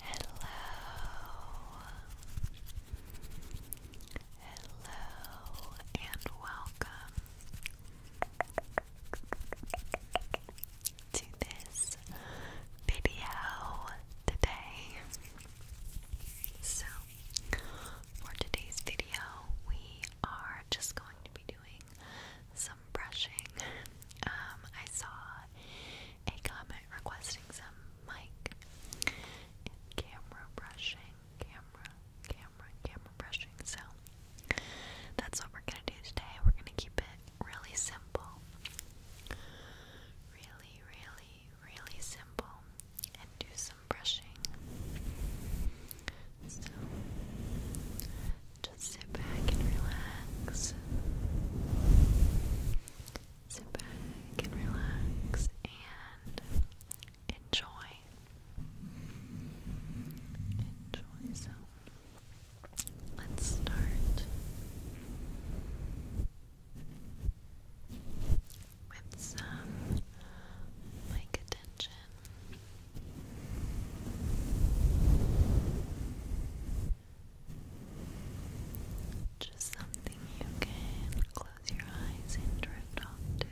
Hello, hello, and welcome to this video today. So, for today's video, we are just going to doing some brushing. Um, I saw a comment requesting some mic camera brushing, camera, camera, camera brushing. So that's what we're gonna do today. We're gonna keep it really simple. Really, really, really simple and do some brushing. So just sit back and relax. Sit back and relax and enjoy. Enjoy. So let's start with some mic attention. Just something you can close your eyes and drift off to.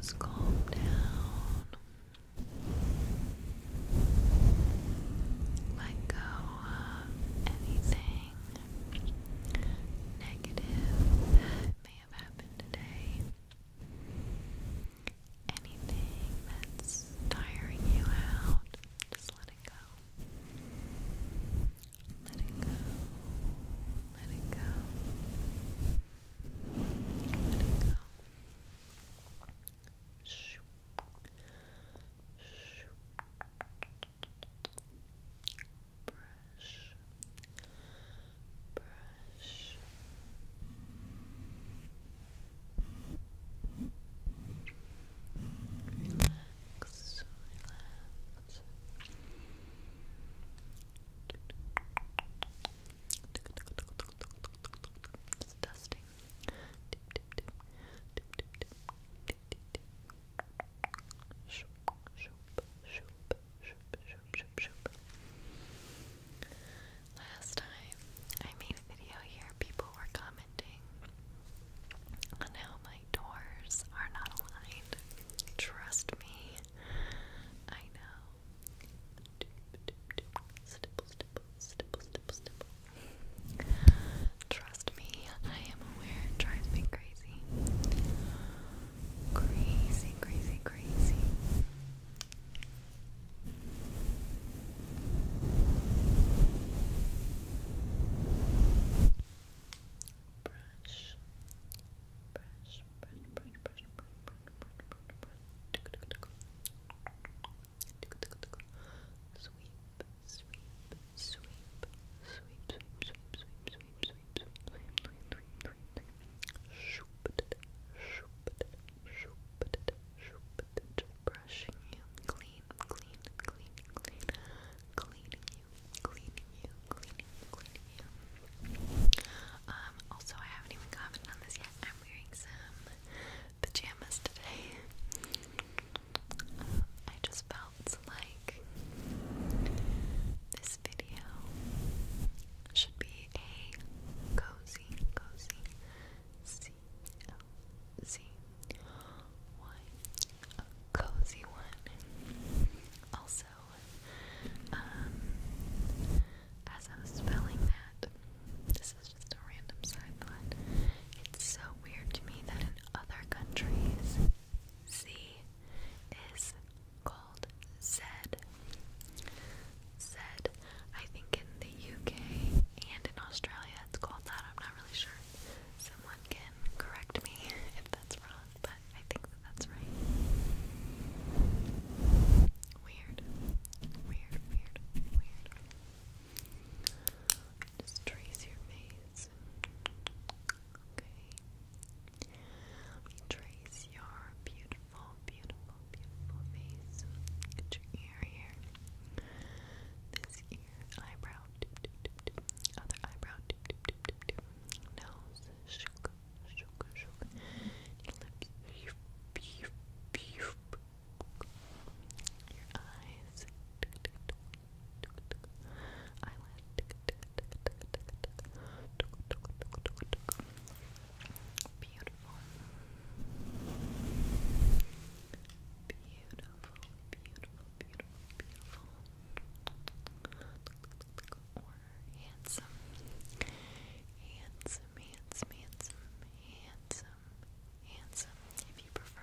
Just calm down. Let go of anything negative that may have happened today. Anything that's tiring you out, just let it go. Let it go. Let it go. Let it go. Brush. Brush relax, Last time I made a video here, people were commenting on how my doors are not aligned. Trust me. I know. Trust me, I am aware it drives me crazy. Crazy, crazy, crazy brush, brush, brush, brush, brush, brush, brush, brush, sweep, sweep, sweep, sweep, sweep, sweep, sweep, sweep, sweep, sweep, sweep, sweep, Shoop, shoop, shoop, brush, cleaning you, cleaning you, cleaning you, cleaning you. Um, also I haven't even commented on this yet. I'm wearing some pajamas today. I just felt like this video should be a cozy, cozy, C O Z Y. A cozy one. Also, um, as I was spelling that, this is just a random side thought. It's so weird to me that in other countries, Z is called Z. Z I think in the UK and in Australia it's called that. I'm not really sure. Someone can correct me if that's wrong, but I think that that's right. Weird. Weird, weird, weird. Just trace your face. Okay. Let me trace your beautiful, beautiful beautiful, beautiful face. your ear here. This ear, eyebrow, other eyebrow, nose, shook, shook, shook. Your lips, beep, Your eyes, eyelid, Beautiful. Beautiful, beautiful, beautiful, Or handsome. Handsome, handsome, handsome, handsome, if you prefer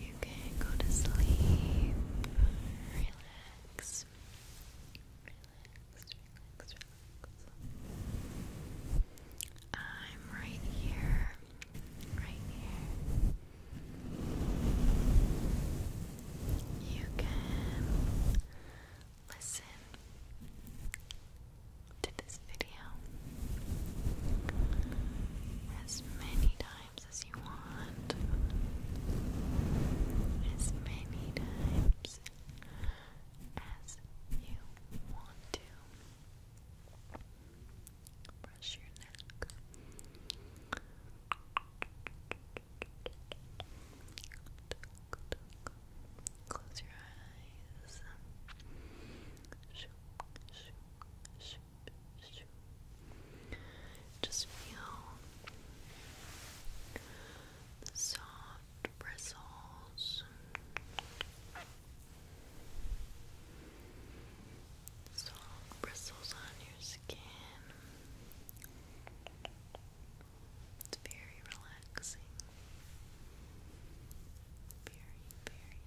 you can go to sleep. Relax. Relax, relax, relax. I'm right here. Right here. You can listen to this video as many times as you want, as many times as you want to. Brush your neck. Close your eyes. Just feel soft bristles, soft bristles on your skin. It's very relaxing relaxing. Very, very,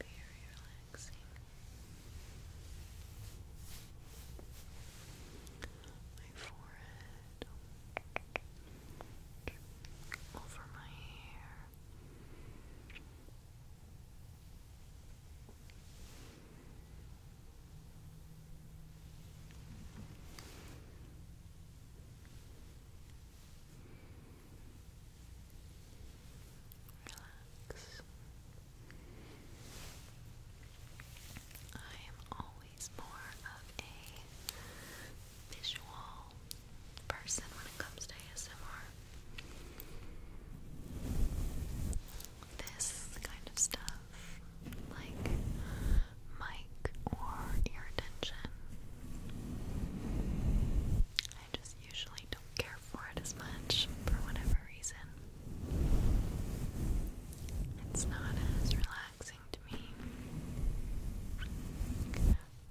very relaxing. My forehead over my hair. Relax. I am always more of a visual person when it comes to ASMR. This kind of stuff like mic or ear tension. I just usually don't care for it as much for whatever reason. It's not as relaxing to me.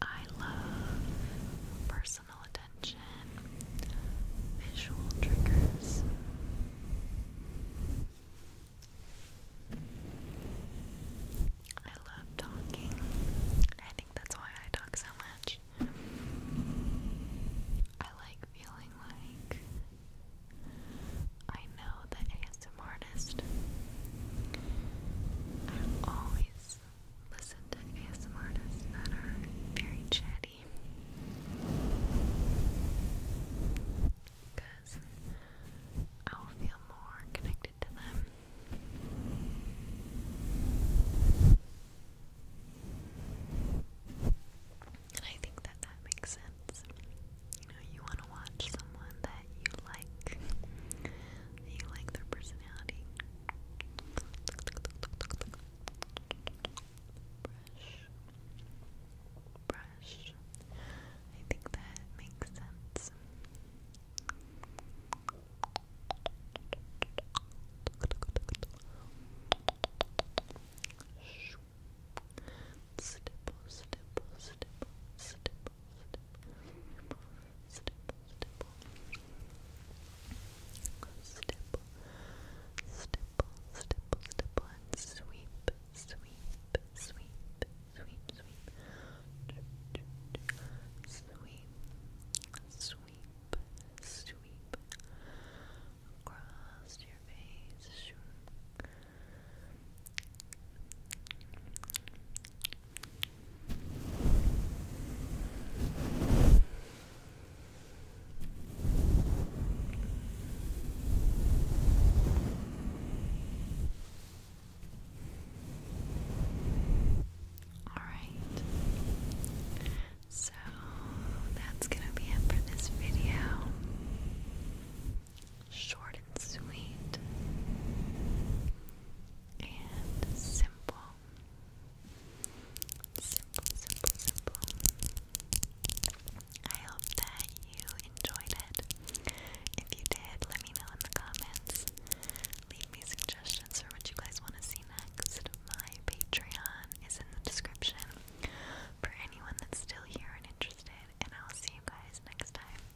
I love personal attention, visual triggers. I love talking. I think that's why I talk so much. I like feeling like I know the ASM I always listen to ASM that are very chatty because I will feel more connected to them. And I think that that makes sense. You know, you want to watch someone that you like, you like their personality brush. I think that makes sense. Stipple, stipple, stipple, stipple, stipple, stipple, stipple, stipple, stipple, stipple, stipple, and sweep, sweep, sweep, sweep, sweep, sweep, sweep, sweep, across your face, Alright, so that's going to be it for this video. Short and sweet, and simple. Simple, simple, simple. I hope that you enjoyed it. If you did, let me know in the comments. Leave me suggestions for what you guys want to see next. My Patreon is in the description for anyone that's still here and interested, and I'll see you guys next time.